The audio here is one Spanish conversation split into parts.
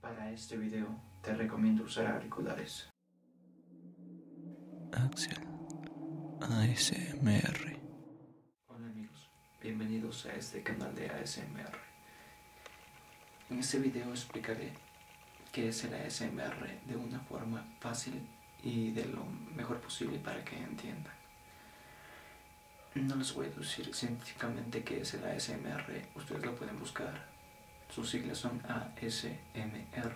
Para este video te recomiendo usar auriculares. Axel ASMR. Hola amigos, bienvenidos a este canal de ASMR. En este video explicaré qué es el ASMR de una forma fácil y de lo mejor posible para que entiendan. No les voy a decir científicamente qué es el ASMR ustedes lo pueden buscar. Sus siglas son ASMR.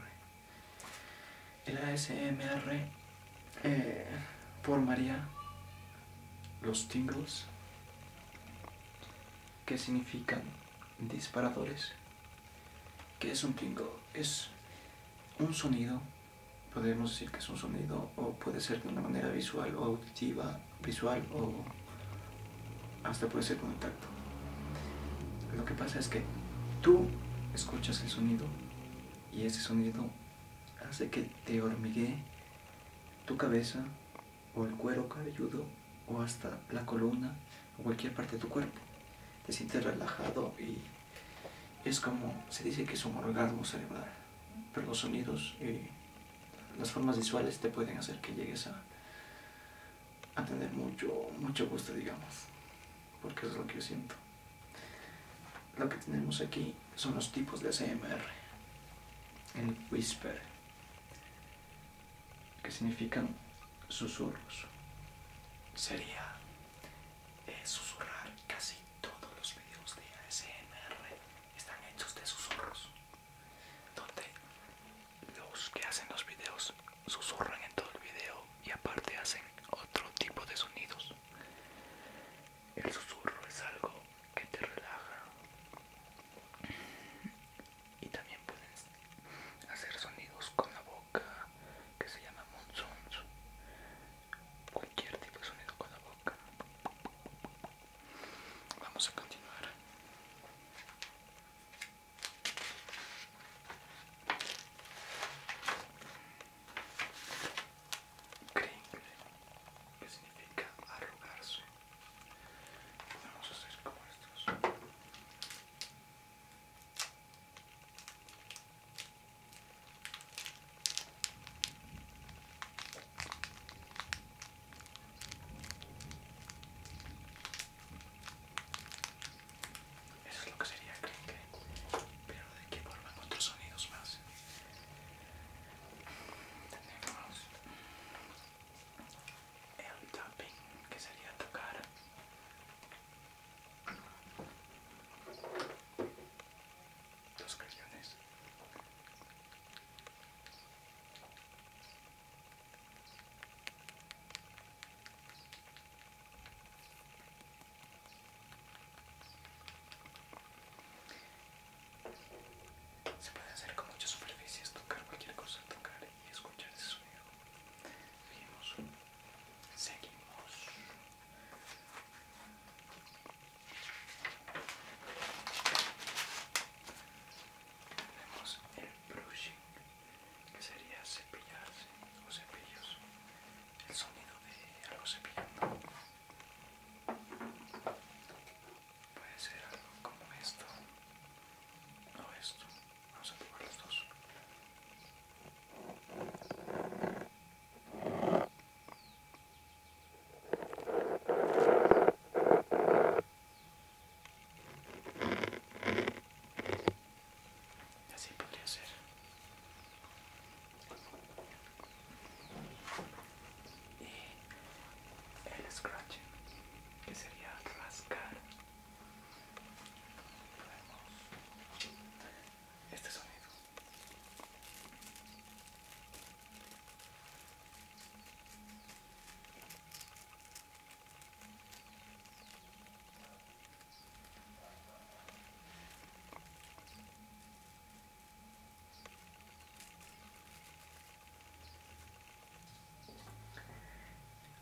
El ASMR eh, formaría los tingles, que significan disparadores. ¿Qué es un tingle? Es un sonido, podemos decir que es un sonido, o puede ser de una manera visual o auditiva, visual o hasta puede ser contacto. Lo que pasa es que tú escuchas el sonido y ese sonido hace que te hormigue tu cabeza o el cuero cabelludo o hasta la columna o cualquier parte de tu cuerpo. Te sientes relajado y es como se dice que es un orgasmo cerebral. Pero los sonidos eh, las formas visuales te pueden hacer que llegues a, tener mucho, mucho gusto, digamos, porque es lo que yo siento. Lo que tenemos aquí son los tipos de ASMR. El whisper, que significan susurros, sería eh, susurrar casi todos los videos de ASMR están hechos de susurros donde los que hacen los videos susurran en todo el video y aparte hacen otro tipo de sonidos el susurro es algo que te relaja y también pueden hacer sonidos con la boca que se llama monzón cualquier tipo de sonido con la boca Vamos a continuar. Crinkle, que significa arrugarse. Vamos a hacer como estos. Eso es lo que sería cringe, pero de qué forman otros sonidos más. Tenemos el tapping, que sería tocar. Dos cañones se puede hacer con muchas superficies, tocar cualquier cosa, tocar y escuchar ese sonido. Seguimos, seguimos. Tenemos el brushing, que sería cepillarse o cepillos, el sonido de algo cepillando. Puede ser algo como esto o esto. Vamos a tomar los dos. Así podría ser. Y el scratching, que sería rascar este sonido.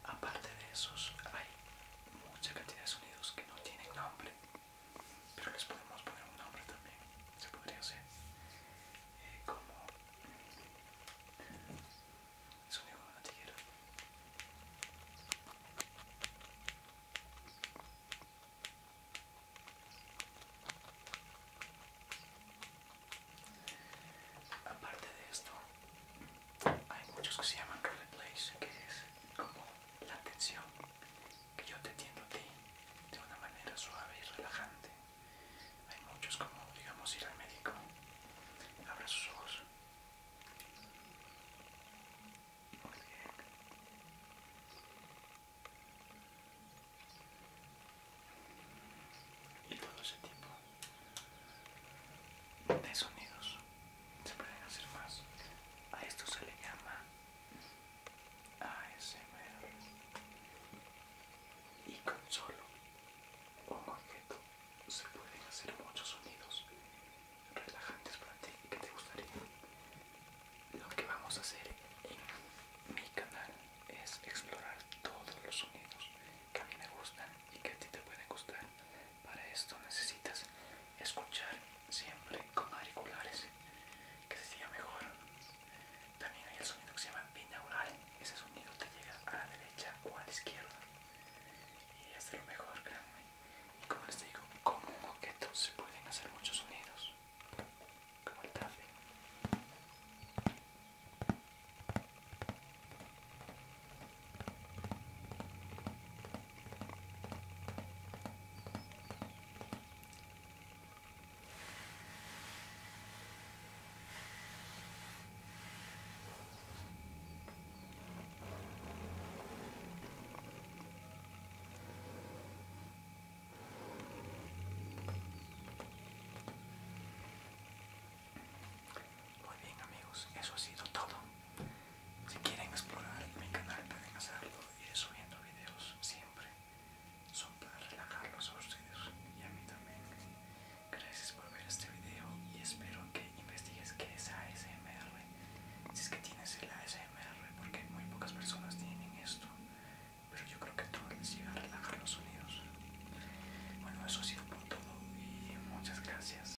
Aparte de esos, hay mucha cantidad de sonidos que no tienen nombre pero que les podemos poner un nombre también se podría hacer eh, como el sonido de una tijera aparte de esto hay muchos que se llaman roleplays que es como la atención que yo te tiendo a ti de una manera suave y relajante. Hay muchos como, digamos, ir al médico. Abra sus ojos. Y todo ese tipo de sonidos se pueden hacer más. A esto se le llama ASMR. Y con solo un objeto se pueden hacer muchos sonidos relajantes para ti que te gustaría. Lo que vamos a hacer en mi canal es explorar todos los sonidos que a mí me gustan y que a ti te pueden gustar. Para esto necesitas escuchar siempre con auriculares, que se siga mejor. También hay el sonido que se llama binaural, ese sonido te llega a la derecha o a la izquierda. Y es lo mejor, créanme. Y como les digo, con un objeto se pueden hacer muchos sonidos, como el tafe muy bien amigos, eso ha sido todo. Si quieren explorar mi canal pueden hacerlo, iré subiendo videos siempre. Son para relajar los ustedes y a mí también. Gracias por ver este video y espero que investigues qué es ASMR. Si es que tienes el ASMR, porque muy pocas personas tienen esto. Pero yo creo que todo les llega a relajar los sonidos. Bueno, eso ha sido por todo y muchas gracias.